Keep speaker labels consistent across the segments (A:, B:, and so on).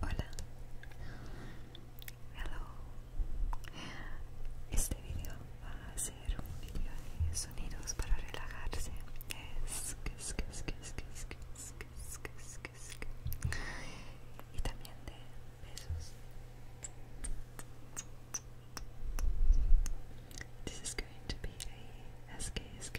A: Hola. Hello. Este video va a ser un video de sonidos para relajarse. y también de besos. This is going to be a SKSK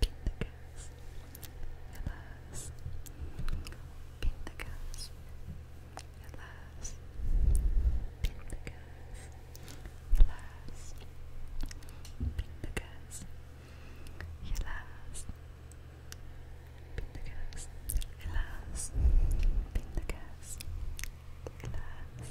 A: Pintagas, alas, Pintagas, alas, Pintagas, alas, Pintagas, alas, Pintagas, alas,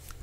A: Om nom nom nom.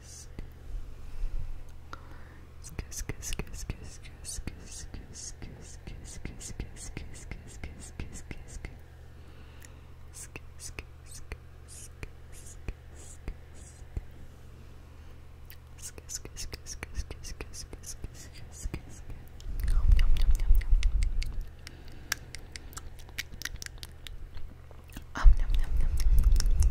A: Um, nom, nom, nom.